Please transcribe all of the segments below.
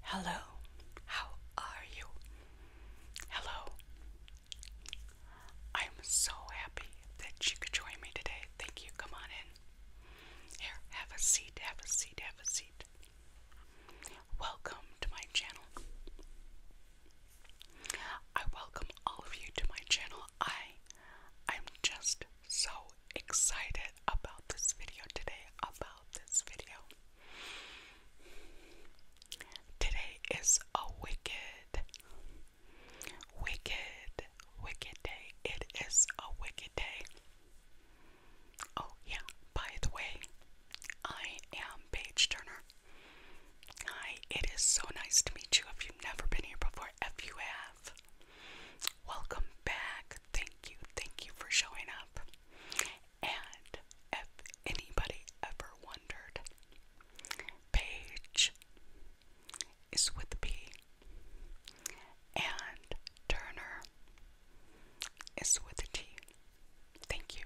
Hello, how are you? Hello. I'm so happy that you could join me today. Thank you. Come on in. Here, have a seat, have a seat, have a seat. Welcome to my channel. I welcome all of you to my channel. I I'm just so excited about this video today. About this video. Today is a wicked, wicked, wicked day. It is a wicked day. Oh, yeah, by the way, I am Page Turner. Hi, it is so nice to meet you. If you've never been here before, if you have, welcome back. Thank you, thank you for showing up. And if anybody ever wondered, Page is with the P, and Turner is with the T. Thank you.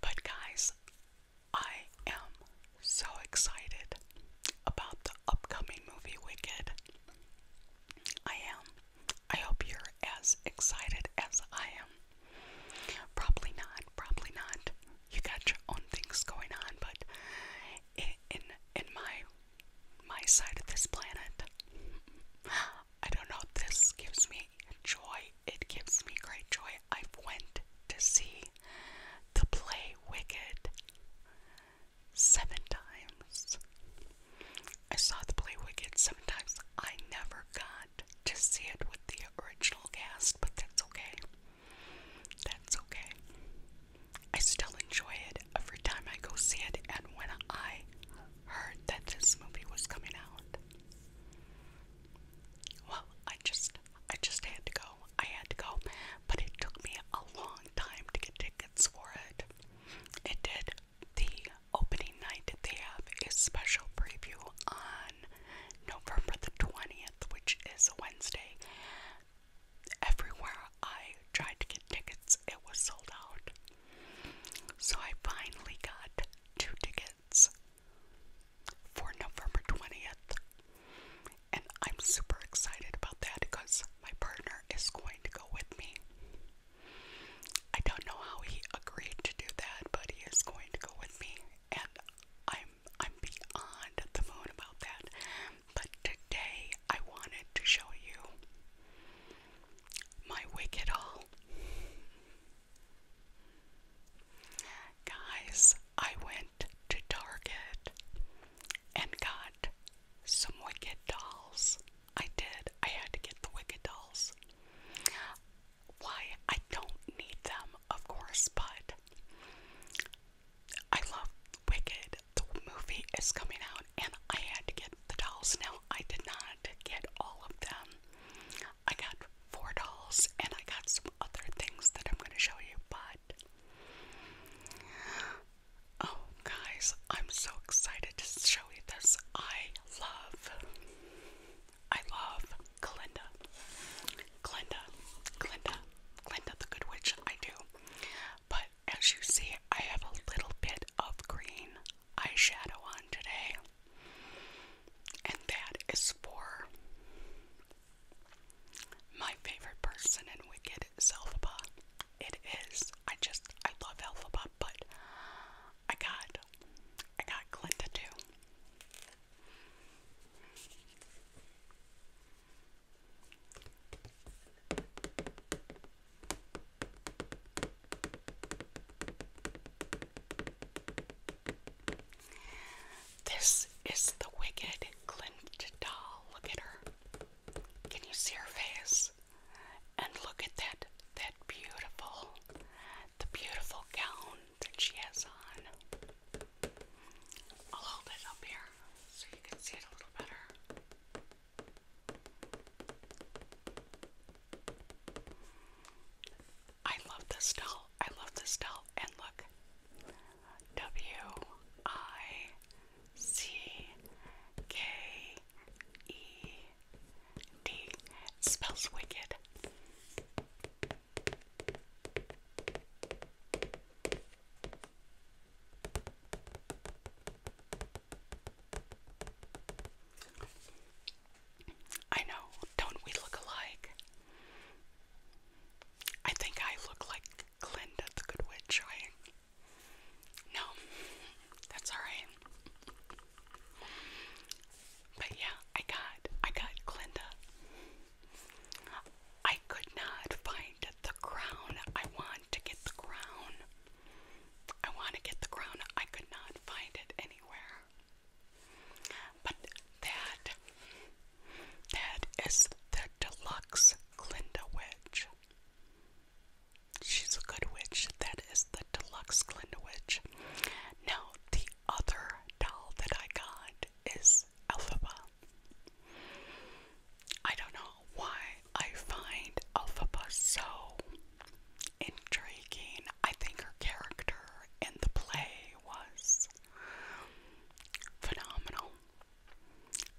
But, guys, I am so excited about the upcoming movie Wicked. I am. I hope you're as excited as I am. Probably not, probably not. You got your own things going on, but in in, in my my side of this planet, I don't know. This gives me joy. It gives me great joy. I went to see the play Wicked seven times. I saw the play Wicked seven times. I never got to see it with the original cast, but that's okay. That's okay. I still enjoy it every time I go see it, and when I heard that this movie was coming out, well, I just, I just had to go. I had to go, but it took me a long time to get tickets for it. It did the opening night, they have a special preview on November the 20th, which is a Wednesday. Everywhere I tried to get tickets, it was sold out. So I finally got two tickets for November 20th. And I'm super excited about that because my partner is going to go with me. I don't know how he agreed to do that, but he is going to go with me, and I'm I'm beyond the moon about that. But today I wanted to show you my wicked at all. Guys, I went to Target and got some Wicked dolls. I did. I had to get the Wicked Dolls. Why? I don't need them, of course, but I love Wicked. The movie is coming out, and I had to get the dolls. Now, I did not get all of them. I got four dolls, and I got some other things that I'm going to show you, but Oh, guys, I'm so excited to show you this. I love, I love Glinda. Glinda, Glinda, Glinda the Good Witch, I do. But as you see, I have a little bit of green eyeshadow on today. And that is for my favorite person in Wicked, Zelphaba. It is. I just, I love Elphaba but I got I got Glinda too. This is the wicked Glinda doll. Look at her. Can you see her face? And look at that that beautiful the beautiful gown that she has on. I'll hold it up here so you can see it a little better. I love this doll. I love this doll. And look. W I C K E D. spells wicked. I know, don't we look alike? I think I look like Glinda the Good Witch. No, that's alright. But yeah, I got I got Glinda. I could not find the crown. I want to get the crown. I want to get the crown. I could not find it anywhere. But that that is the deluxe Glinda witch. She's a good witch. That is the deluxe Glinda Witch. Now, the other doll that I got is Elphaba. I don't know why I find Elphaba so intriguing. I think her character in the play was phenomenal.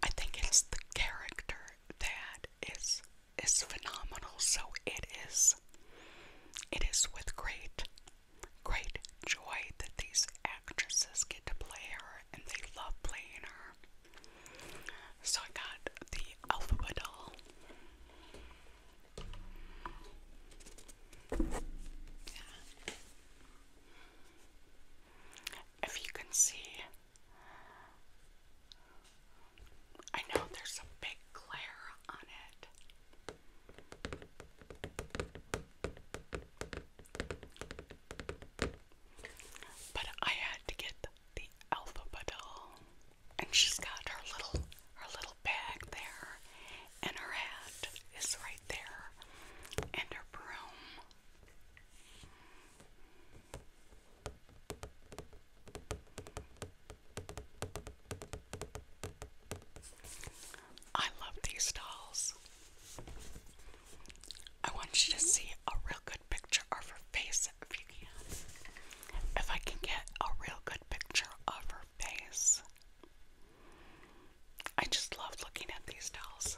I think it's the character that is is phenomenal, so it is it is with great great joy that these actresses get to play her and they love playing her. So I got the Alphabet doll. If you can see I know there's a big glare on it. But I had to get the alphabetol, and she's got her little her little bag there, and her hat is right there, and her broom. I love these dolls. I want you to see a real good picture of her face if If I can get a real good picture of her face. I just love looking at these dolls.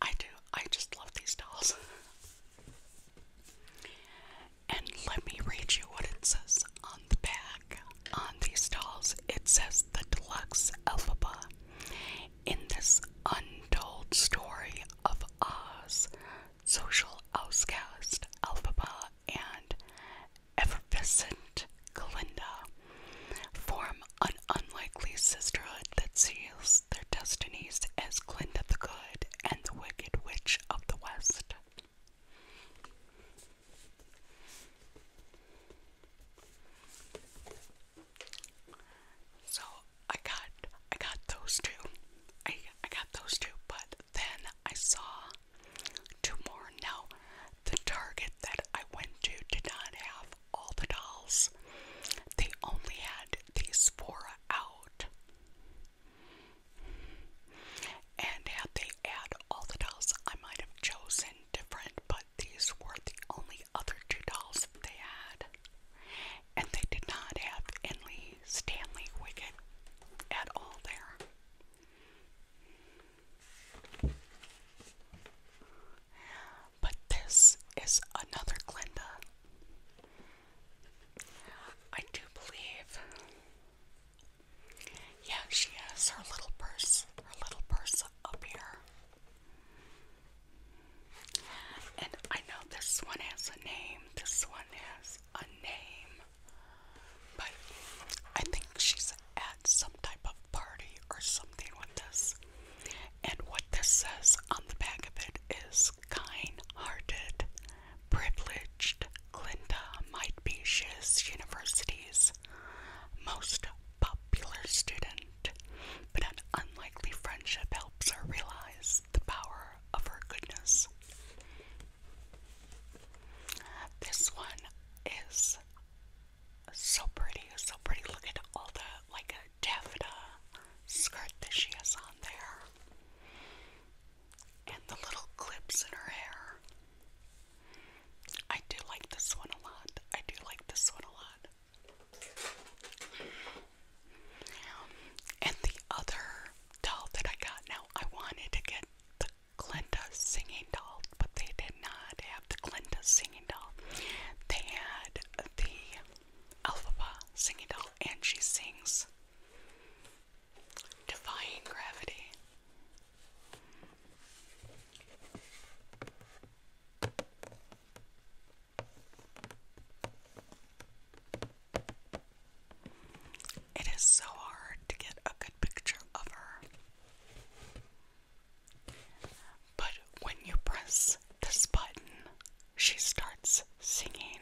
I do. I just love these dolls. and let me read you what it says on the back. On these dolls, it says the deluxe Elphaba. In this untold story of Oz, social outcast Elphaba and effervescent Glinda form an unlikely sisterhood that sees their destinies as Glinda the Good and the Wicked Witch of the West. So I got I got those two. I I got those two, but then I saw two more. Now the Target that I went to did not have all the dolls. They only had these four out. And had they had all the dolls, I might have chosen different, but these were the only other two dolls they had. And they did not have Enley Stanley Wicket at all there. But this is another Glinda. I do believe. Yeah, she has her little purse, her little purse up here. And I know this one has a name, this one has a name. But I think she's at some type of party or something with this. And what this says on the back of it is kind hearted, privileged Glinda might be Shiz University's most popular student, but an unlikely friendship helps her realize the power of her goodness. This one is so pretty, so pretty. Look at all the like taffeta skirt that she has on there, and the little clips in her hair. I do like this one a lot. I do like this one a lot. And the other doll that I got now, I wanted to get the Glinda singing doll, but they did not have the Glinda singing doll. They had the Elphaba singing doll, and she sings Defying Gravity. It is so hard to get a good picture of her. But when you press this button, she starts singing.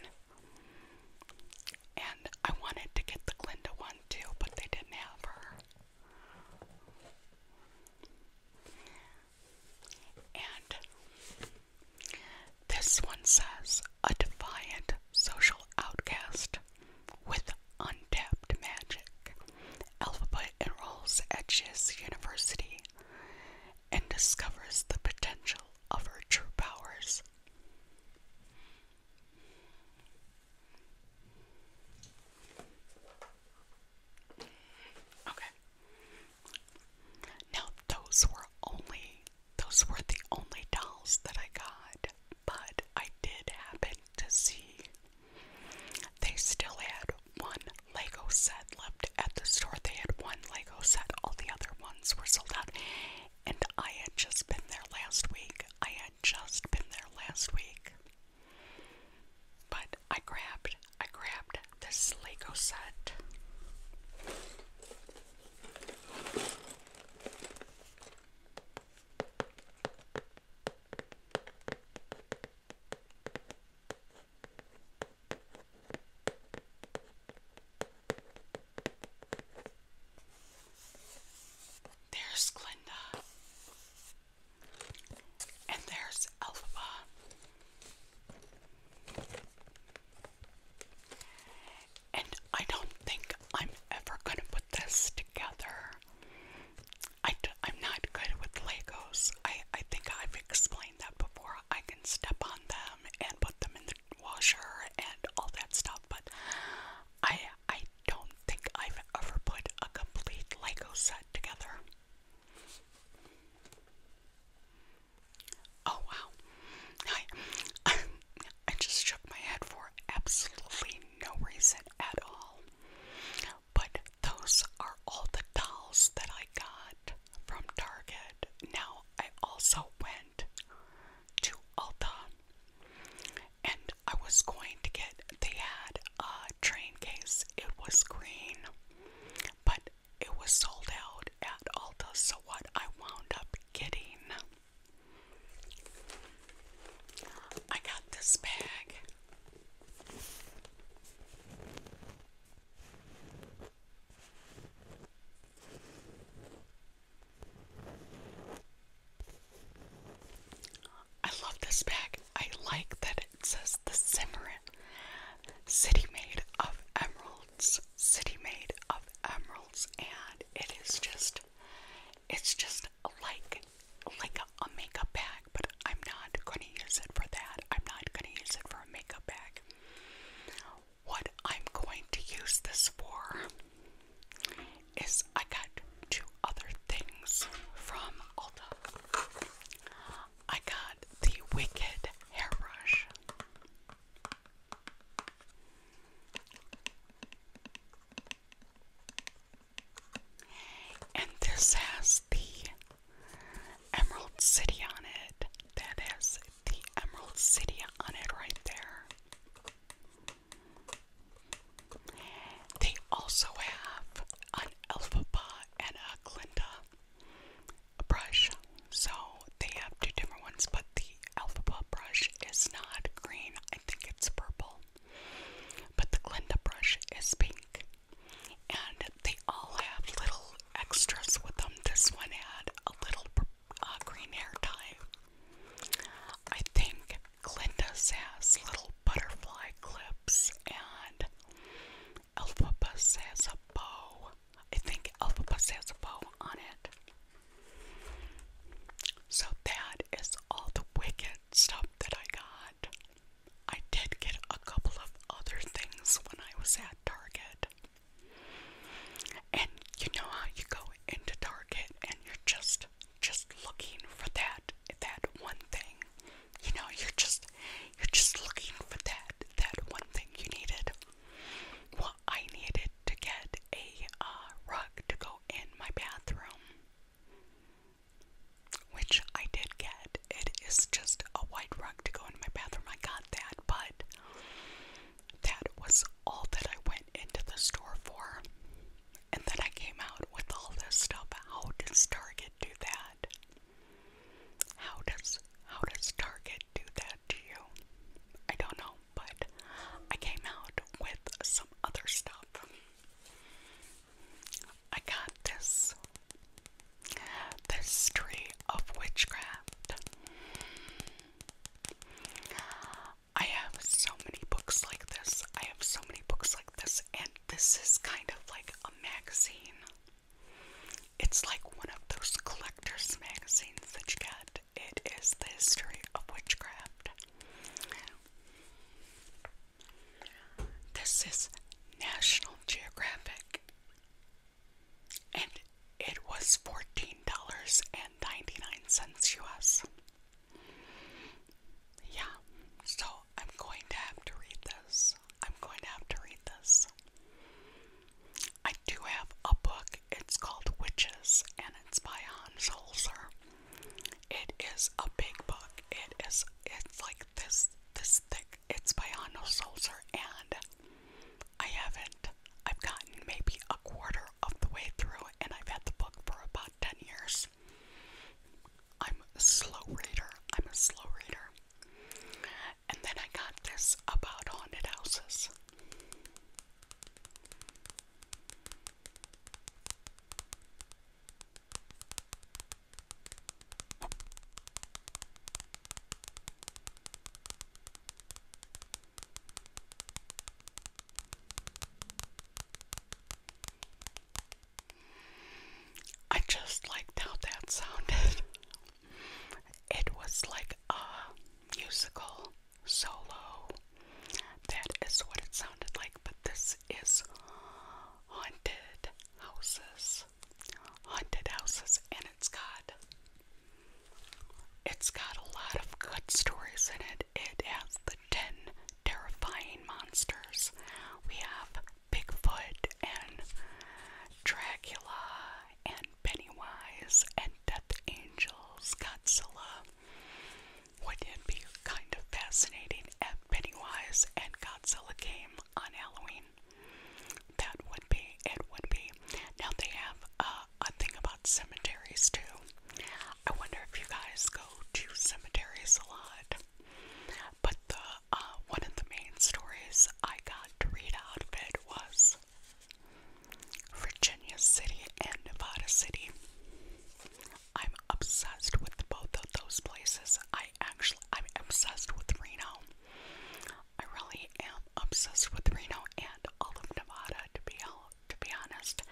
And I wanted to get the Glinda one too, but they didn't have her. And this one says a defiant social outcast with untapped magic. Elphaba enrolls at Giz University and discovers the potential of her true powers. Okay. Now those were only those were the only dolls that I got, but I did happen to see they still had one Lego set left at the store. They had one Lego set, all the other ones were sold out. And I had just been there last week. I had just been there last week. But I grabbed, I grabbed this Lego set. There's Glinda. And there's Elphaba. And I don't think I'm ever going to put this together. I d I'm not good with Legos. I, I think I've explained that before. I can step on that and put them in the washer and all that stuff, but I I don't think I've ever put a complete Lego set together. Oh wow. I I just shook my head for absolutely no reason at all. But those are all the dolls that I got from Target. Now, I also went to Ulta and I was going to get, they had a train case. It was green, but it was sold out at Ulta. So, what I wound up getting, I got this bag. I love this bag. I like that it says the Simran City Made of Emeralds. City Made of Emeralds and it is just it's just like like a makeup bag, but I'm not going to use it for that. I'm not going to use it for a makeup bag. What I'm going to use this for is I got two other things from Ulta. I got the Wicked hairbrush. And this has the Emerald City on it. That is the Emerald City on it right there. They also have an Alpha and a Glinda brush. So they have two different ones, but the Alpha brush is not green. I think it's purple. But the Glinda brush is pink. And they all have little extras with them. This one had a little uh, green hair tie. I think Glinda's has little butterfly clips, and Elphibus has a bow. I think Elphibus has a bow on it. So that is all the Wicked stuff that I got. I did get a couple of other things when I was at Target. And you know how you go into Target and you're just just looking for that that one thing. You know, you're just you're just looking for that that one thing you needed. Well, I needed to get a uh, rug to go in my bathroom. Which I did get. It is just a white rug to go in my bathroom. I got that, but that was all that I went into the store for. And then I came out with all this stuff. How does Target do that? How does how does Target do that to you? I don't know, but I came out with some other stuff. I got this, this tree of witchcraft. I have so many books like this. I have so many books like this, and this is kind of like a magazine. It's like one of those collector's magazines that you get. It is the history of witchcraft. This is National Geographic and it was $14.99 US. Yeah, so I'm going to have to read this. I'm going to have to read this. I do have a book. It's called Witches and it's by Hans Holzer. It is a big book. It is it's like this this thick. It's by Hans Holzer and I haven't. I've gotten maybe a quarter of the way through, and I've had the book for about 10 years. I'm a slow reader. I'm a slow reader. And then I got this about haunted houses. I just liked how that sounded. It was like a musical solo. That is what it sounded like, but this is haunted houses. Haunted houses, and it's God. It's got a lot of good stories in it. It has the 10 terrifying monsters. We have Bigfoot and Dracula and Pennywise and Death Angels, Godzilla. would it be kind of fascinating if Pennywise and Godzilla came on Halloween? That would be, it would be. Now they have uh, a thing about cemeteries too. I wonder if you guys go to cemeteries a lot. But the uh, one of the main stories I got to read out of it was Virginia City and Nevada City. I'm obsessed with both of those places. I actually I'm obsessed with Reno. I really am obsessed with Reno and all of Nevada, to be all, to be honest.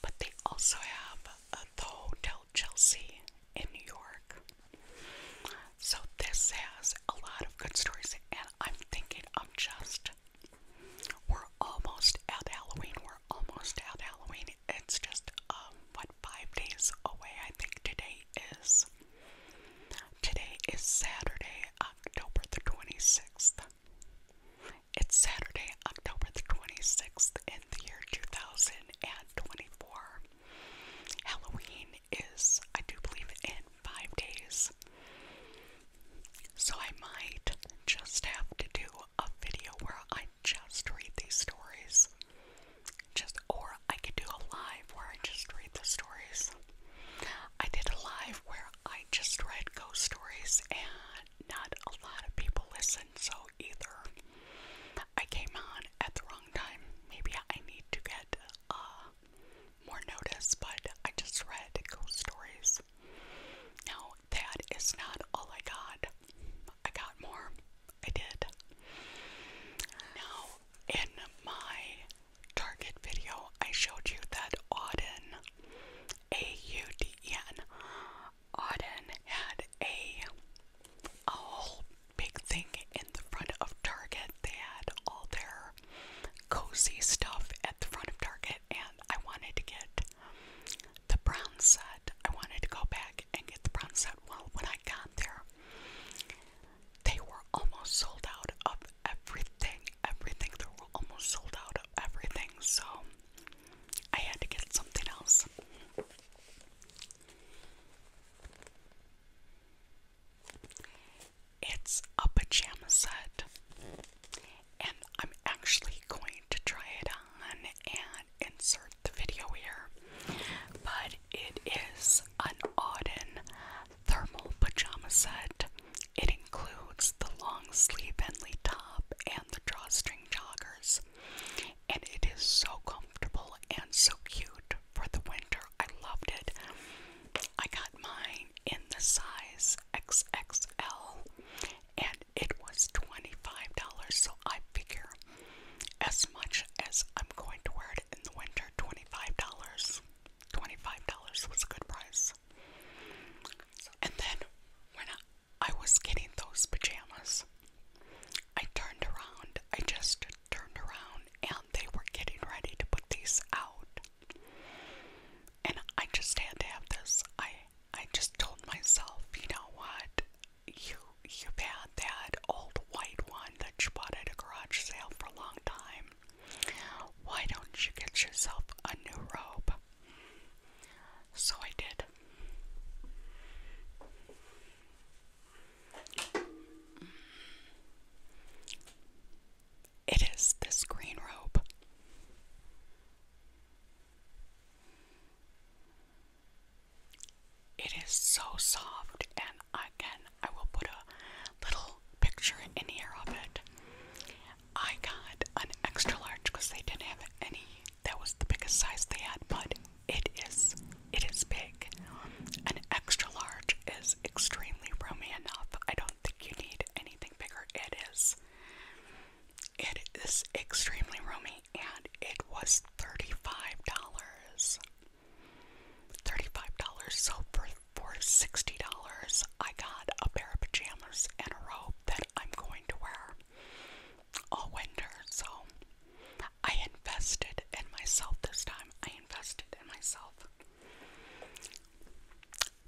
But they also have uh, the Hotel Chelsea in New York. So this has a lot of good stories, and I'm thinking of just we're almost at Halloween. We're almost at Halloween. It's just um, what five days away. I think today is Today is Saturday, October the 26th. It's Saturday, October the 26th in the year 2024. Halloween is, I do believe, in five days. So I might just have to do a video where I just read these stories. Just or I could do a live where I just read the stories. I did a live where I just read ghost stories and not a lot of people listen, so either I came on at the wrong time. Maybe I need to get uh, more notice, but I just read ghost stories. Now, that is not all I got. I got more. I did. Now, in my Target video, I showed you that Auden, A-U-D-E-N, Auden had a whole big thing in the front of Target. They had all their cozy stuff at the front of Target, and I wanted to get the brown set. I wanted to go back and get the brown set. Well, when I got there, they were almost sold out of everything, everything. They were almost sold out everything, so I had to get something else. It's a pajama set, and I'm actually going to try it on and insert the video here. But it is an Auden thermal pajama set. It includes the long sleeve Bentley top and the drawstring joggers. And it is so comfortable and so cute for the winter. I loved it. I got mine in the size XXL and it was $25. So I figure as much as I'm going to wear it in the winter, $25. $25 was a good price. And then when I, was getting those pajamas, I turned around, I just turned around, and they were getting ready to put these out. And I just had to have this. I I just told myself, you know what? You you've had that old white one that you bought at a garage sale for a long time. Why don't you get yourself a new robe? So I did. It is this green robe. It is so soft, and again, I will put a little picture in here of it. I got an extra large because they didn't have any. That was the biggest size they had, but it is it is big. An extra large is extremely roomy enough. I don't think you need anything bigger. It is it is extremely roomy and it was $35. $35. So for for $60, I got a pair of pajamas and a robe that I'm going to wear all winter. So I invested in myself this time. I invested in myself.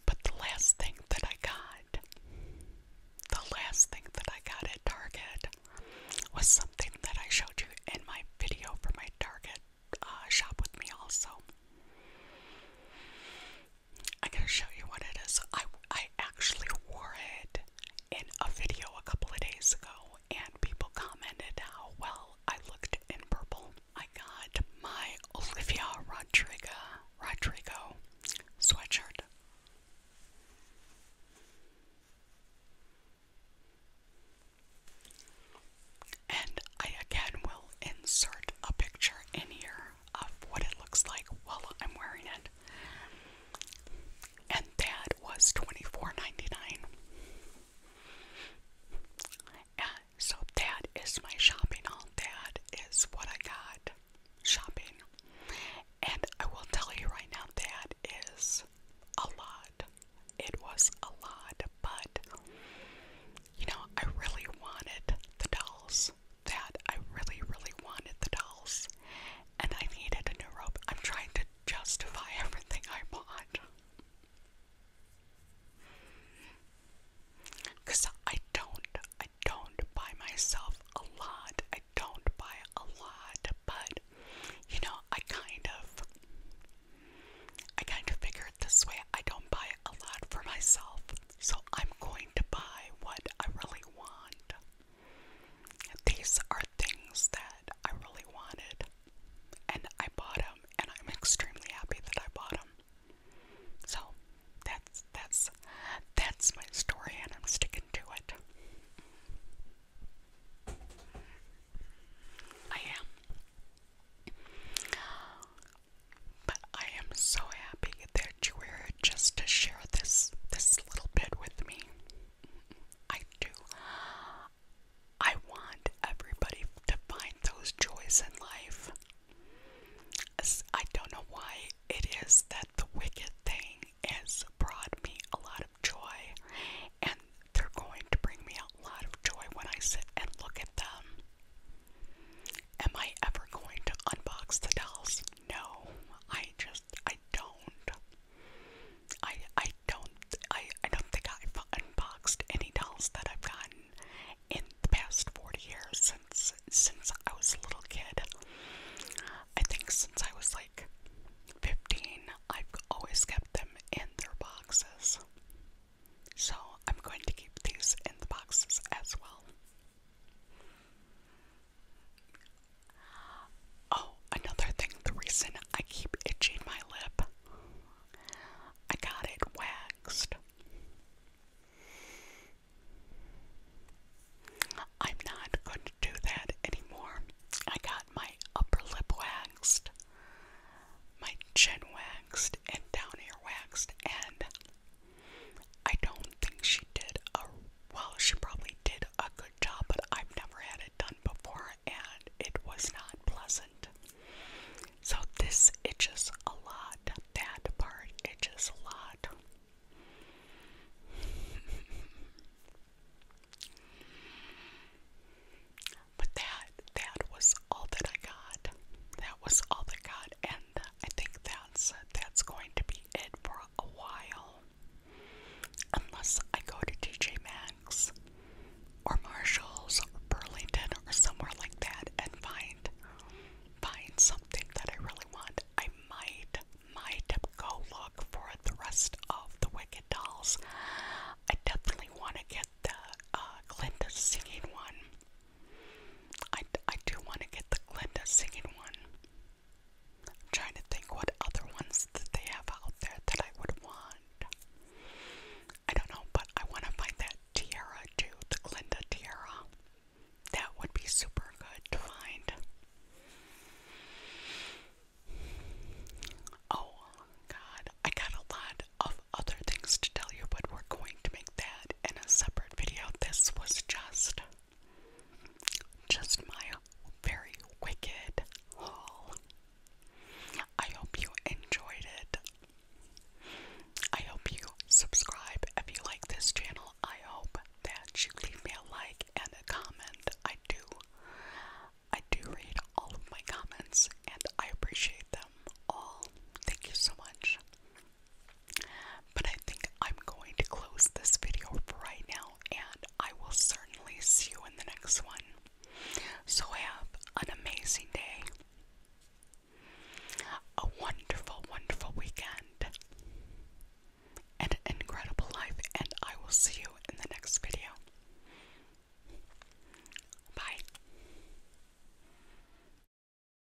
But the last thing that I got, the last thing that I got at Target was something that I showed you in my video for my Target uh, shop with me also. I'm gonna show you what it is. I I actually wore it in a video a couple of days ago, and people commented how well I looked in purple. I got my Olivia Rodrigo Rodrigo sweatshirt. And I again will insert a picture in here of what it looks like while I'm wearing it. And that was $24.99. And uh, so that is my shopping haul. That is what I got shopping. And I will tell you right now that is a lot. It was a lot, but you know, I really wanted the dolls. That I really, really wanted the dolls. And I needed a new robe. I'm trying to justify everything I bought. Because I don't, I don't buy myself a lot. I don't buy a lot, but you know, I kind of, I kind of figure this way I don't buy a lot for myself, so I'm going to buy what I really want. These are things that I really wanted, and I bought them, and I'm extremely happy that I bought them. So that's that's that's my story, and I'm sticking to it. I am. But I am so happy that you were just to share this this little bit with me. I do. I want everybody to find those joys in life. I don't know why it is that the wicked thing has brought me a lot of joy, and they're going to bring me a lot of joy when I sit and look at them. Am I ever going to unbox the dolls? No, I just I don't. I I don't I I don't think I've unboxed any dolls that I've gotten in the past forty years since since I was a little kid. I think since I was like fifteen, I've always kept them in their boxes. So I'm going to keep these in the boxes as well. Oh, another thing, the reason I keep itching my lip, I got it waxed. I'm not going to do that anymore. I got my upper lip waxed, my chin waxed, and down here waxed, and I don't think she did well, she probably did a good job, but I've never had it done before and it was not pleasant. So this itches a lot. That part itches a lot. But that that was all that I got. That was all that I got. And I think that's that's going to be it for a while, unless I go to TJ Maxx or Marshalls or Burlington or somewhere like that and find find something that I really want. I might might go look for the rest of the Wicked Dolls. I definitely want to get the uh, Glinda singing one. I, I do want to get the Glinda singing one. trying to think what other ones that they have out there that I would want. I don't know, but I want to find that tiara too, the Glinda tiara. That would be super good to find. Oh, God. I got a lot of other things to tell you, but we're going to make that in a separate video. This was just just my very wicked haul. I hope you enjoyed it. I hope you subscribe if you like this channel. I hope that you leave me a like and a comment. I do I do read all of my comments and I appreciate them all. Thank you so much. But I think I'm going to close this video right now, and I will certainly see you in the next one. So, have an amazing day, a wonderful, wonderful weekend, and an incredible life, and I will see you in the next video. Bye.